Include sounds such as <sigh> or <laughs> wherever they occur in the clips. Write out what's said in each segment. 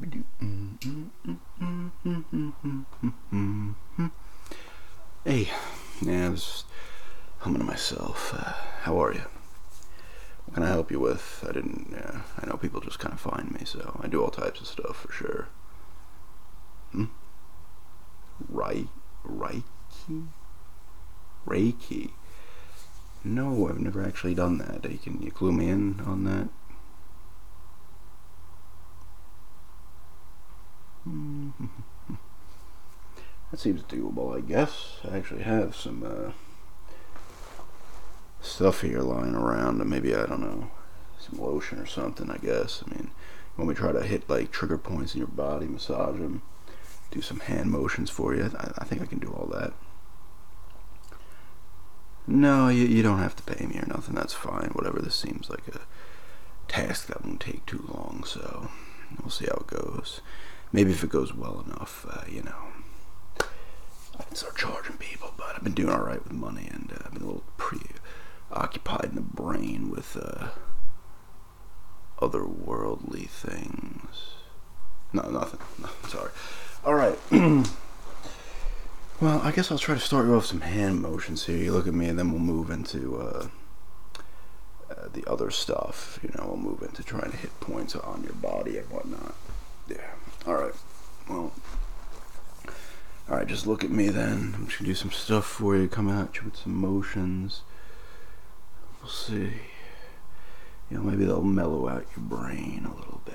Hey, yeah, I was humming to myself. Uh, how are you? can I help you with? I didn't. Uh, I know people just kind of find me, so I do all types of stuff for sure. Hmm? Right? Reiki? Reiki? No, I've never actually done that. You can you clue me in on that? Hmm. <laughs> that seems doable, I guess. I actually have some uh, stuff here lying around, and maybe I don't know, some lotion or something. I guess. I mean, when we try to hit like trigger points in your body, massage them, do some hand motions for you. I think I can do all that. No, you, you don't have to pay me or nothing. That's fine. Whatever. This seems like a task that won't take too long, so we'll see how it goes. Maybe if it goes well enough, uh, you know, I can start charging people. But I've been doing all right with money, and uh, I've been a little preoccupied in the brain with uh, otherworldly things. No, nothing. sorry. All right. <clears throat> Well, I guess I'll try to start you off some hand motions here. You look at me, and then we'll move into uh, uh, the other stuff. You know, we'll move into trying to hit points on your body and whatnot. Yeah. All right. Well. All right. Just look at me then. I'm just gonna do some stuff for you. Come at you with some motions. We'll see. You know, maybe they'll mellow out your brain a little bit.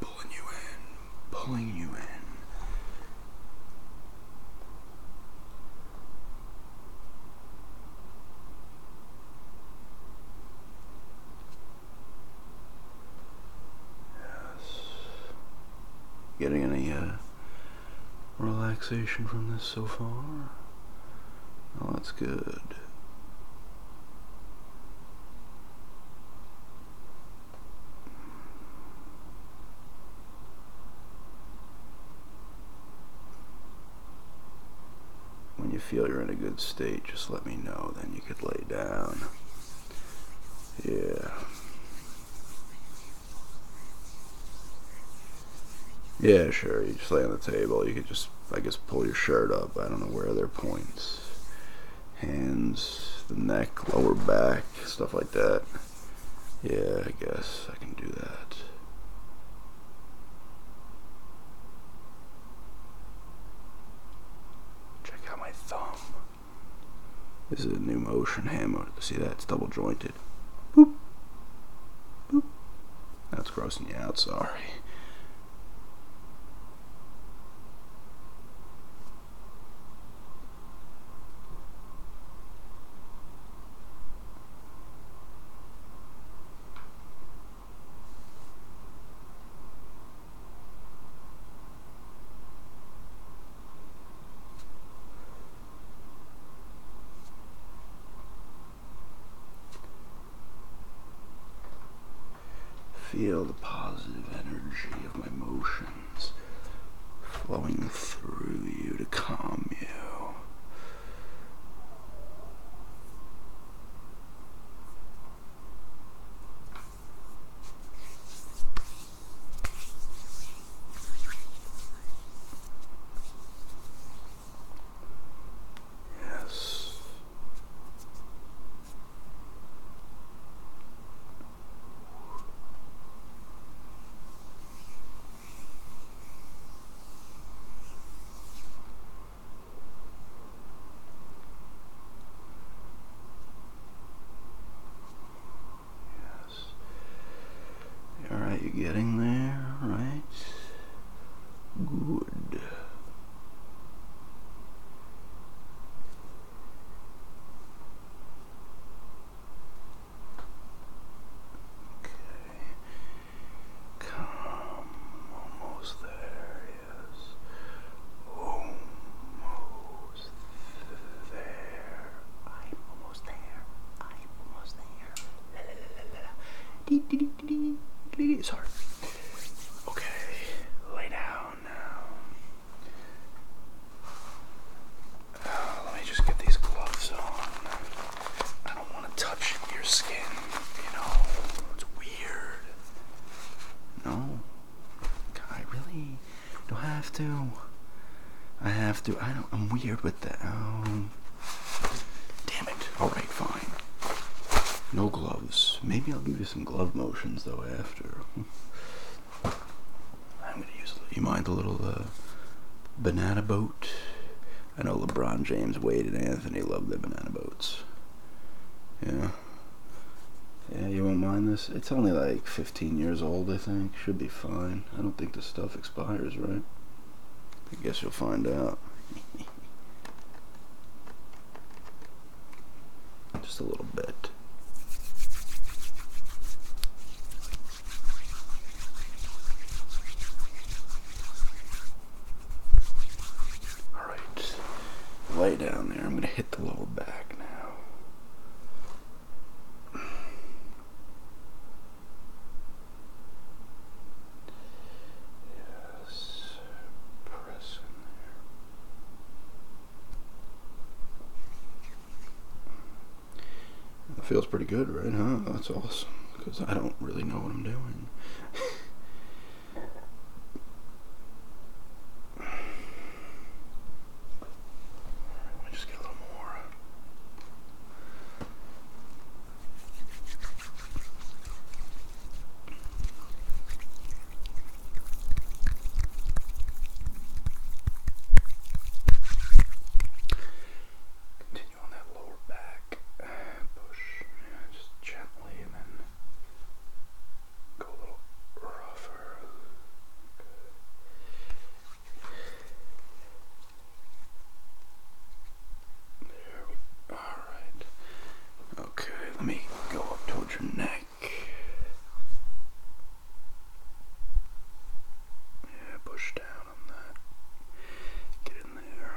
Pulling you in, pulling you in. Yes. Getting any uh, relaxation from this so far? Oh, that's good. When you feel you're in a good state, just let me know. Then you could lay down. Yeah. Yeah, sure. You just lay on the table. You could just, I guess, pull your shirt up. I don't know where they're points hands, the neck, lower back, stuff like that. Yeah, I guess I can do that. Check out my thumb. This is a new motion hammer. See that? It's double jointed it's grossing you out, sorry. Feel the positive energy of my motions flowing through you to calm you. Yes, Yes. All right, you You're getting there, right? Good food. Okay. Come, almost there, yes. Almost there. I'm almost there. I'm almost there. La la la la la. Dee dee dee. Sorry. Okay, lay down now. Uh, let me just get these gloves on. I don't want to touch your skin, you know. It's weird. No. I really don't have to. I have to. I don't. I'm weird with that. Oh. Damn it. Alright, fine. No gloves. Maybe I'll give you some glove motions though after. <laughs> I'm gonna use. You mind the little uh, banana boat? I know LeBron James, Wade, and Anthony love their banana boats. Yeah. Yeah, you won't mind this. It's only like 15 years old, I think. Should be fine. I don't think the stuff expires, right? I guess you'll find out. <laughs> Just a little bit. Alright, lay down there. I'm going to hit the lower back now. Yes, press there. It feels pretty good, right? Huh? That's awesome. Because I don't really know what I'm doing. Let me just get a little more. Continue on that lower back, push, yeah, just gently, and then go a little rougher. Good. There we Alright. Okay, let me go up towards your neck. Yeah, push down on that. Get in there.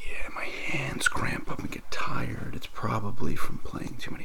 Yeah, my hands cramp up and get tired. It's probably from playing too many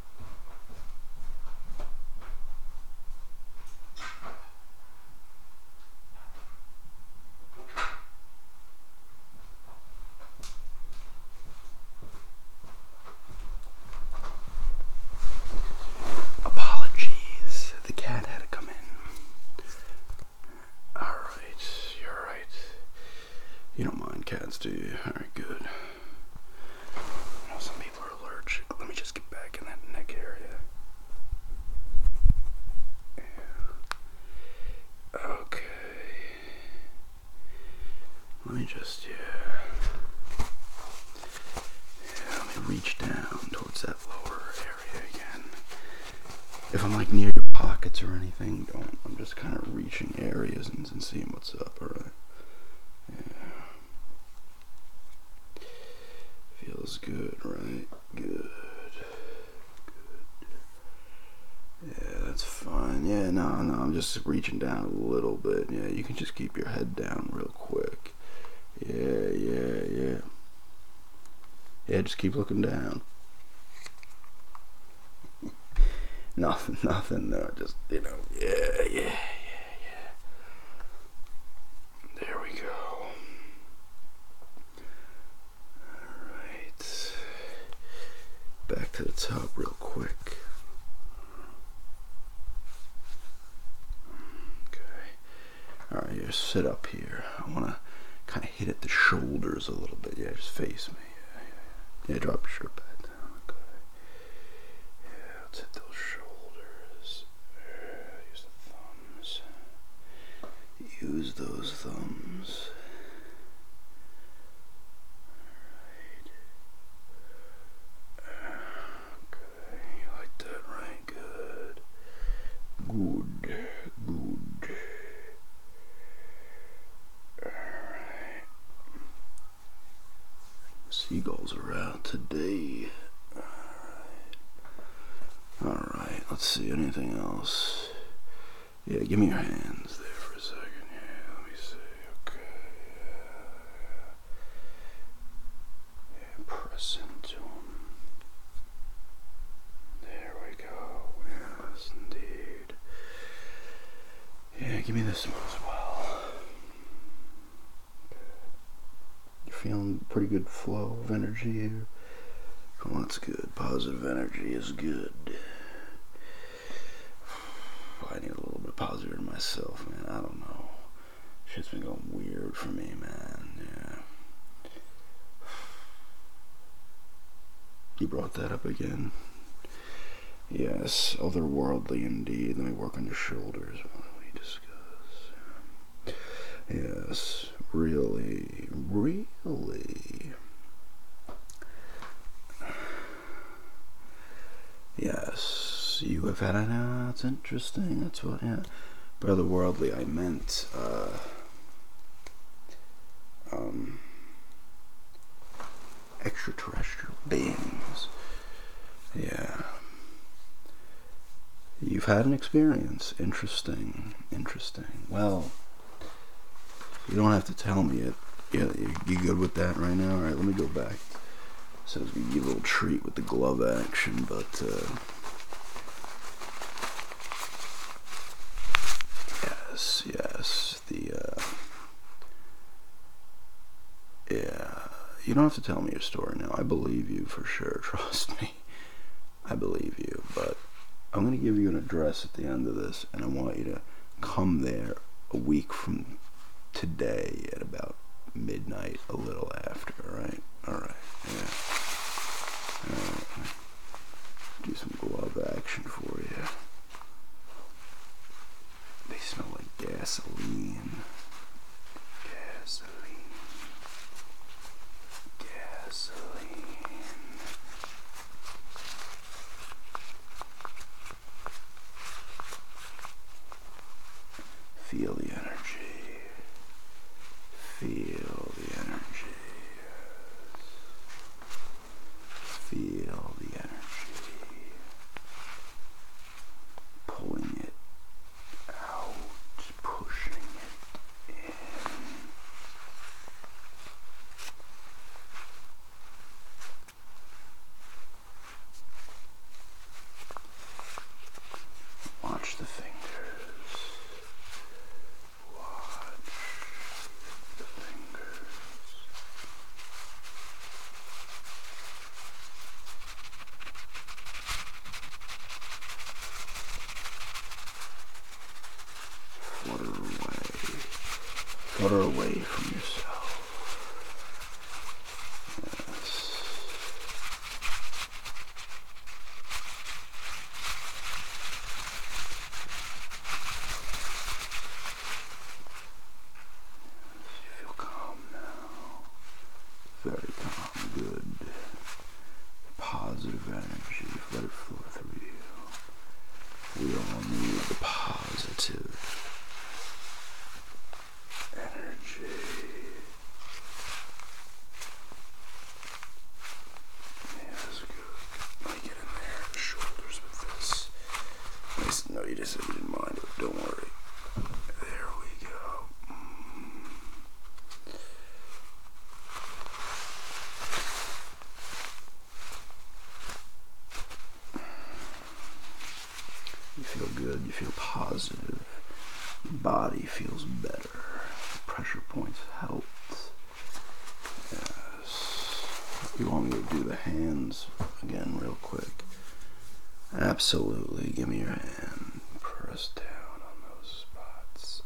Apologies, the cat had to come in. Alright, you're right. You don't mind cats, do you? Alright, good some people are allergic. Let me just get back in that neck area. Okay. Let me just, yeah. let me reach down towards that lower area again. If I'm like near your pockets or anything, don't. I'm just kind of reaching areas and, and seeing what's up, alright? Yeah. Feels good, right? Good. Good. Yeah, that's fine. Yeah, no, no, I'm just reaching down a little bit. Yeah, you can just keep your head down real quick. Yeah, yeah, yeah. Yeah, just keep looking down. <laughs> nothing, nothing. No, just you know, yeah, yeah, yeah, yeah. There we go. All right, back to the top real quick. Okay. All right, you sit up here. I want to kind of hit at the shoulders a little bit. Yeah, just face me. Yeah, yeah, yeah. yeah drop your shirt back down, good. Yeah, let's hit those shoulders. use the thumbs. Use those thumbs. Alright. Okay, you like that, right? Good. Good. Good. Alright. Seagulls are out today. Alright, right. let's see, anything else? Yeah, give me your hands there for a second. Yeah, let me see. Okay. yeah. press into them. There we go. Yes, indeed. Yeah, give me this one as well. You're feeling pretty good flow of energy here. Well, that's good. Positive energy is good. <sighs> I need a little bit positive in myself, man. I don't know. Shit's been going weird for me, man. Yeah. <sighs> You brought that up again. Yes, otherworldly indeed. Let me work on your shoulders. What we discuss? Yes, really, really. Yes, you have had an. that's interesting. That's what. Yeah, by otherworldly, I meant. Uh, um extraterrestrial beings. Yeah. You've had an experience. Interesting. Interesting. Well, you don't have to tell me it. Yeah, you good with that right now? Alright, let me go back. So I was give a little treat with the glove action, but. Uh, yes, yes. Uh, yeah, you don't have to tell me your story now. I believe you for sure. <laughs> Trust me. I believe you. But I'm going to give you an address at the end of this, and I want you to come there a week from today at about midnight, a little after, right? Alright, yeah. Do some glove action for you. They smell like gasoline. Gasoline. Gasoline. Feel the energy. Feel the energy. Feel the energy pulling it out, pushing it in. Watch the fingers. Watch Flutter away, flutter away from yourself. Feel calm now. Very calm. Good. Positive energy. Let it flow through you. We all need the positive energy. Yes, good get in No, you just didn't mind it. Don't worry. There we go. Mm. You feel good. You feel positive. body feels better. pressure points helped. Yes. You want me to do the hands again, real quick? Absolutely. Give me your hand. Press down on those spots.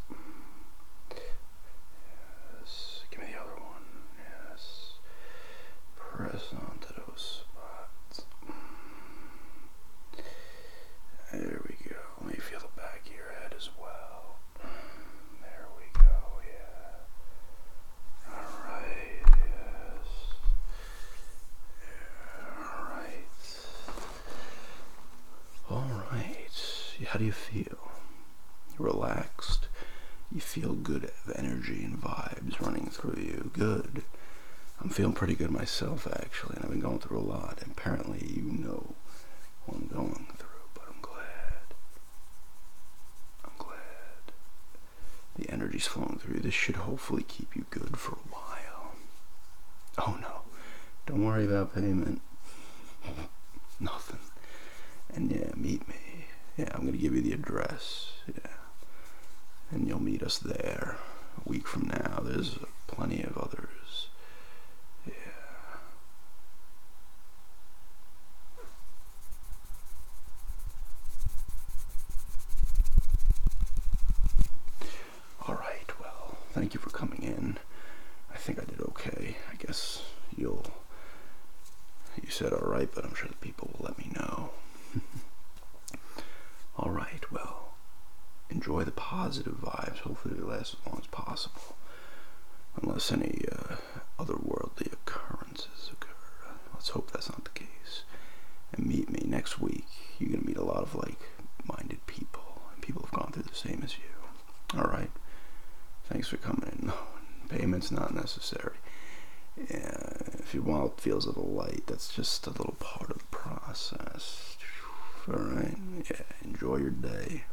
Yes. Give me the other one. Yes. Press onto those spots. There we go. Let me feel the back of your head as well. There we go, yeah. Alright, yes. Alright. Alright. How do you feel? Relaxed. You feel good energy and vibes running through you. Good. I'm feeling pretty good myself, actually, and I've been going through a lot. apparently, you know what I'm going through, but I'm glad I'm glad the energy's flowing through. This should hopefully keep you good for a while. Oh no, don't worry about payment. Nothing. And yeah, meet me. Yeah, I'm gonna give you the address. Yeah. And you'll meet us there a week from now. There's plenty of others. Yeah. All right, well, thank you for coming in. I think I did okay. I guess you'll. You said all right, but I'm sure the people will let me know. <laughs> all right, well, enjoy the positive vibes. Hopefully, they last as long as possible. Unless any uh, otherworldly occurrences occur. Let's hope that's not the case. And meet me next week. You're going to meet a lot of like minded people, and people have gone through the same as you. All right. Thanks for coming in. No, payment's not necessary. if you want feels of the light, that's just a little part of the process. All right. Yeah. Enjoy your day.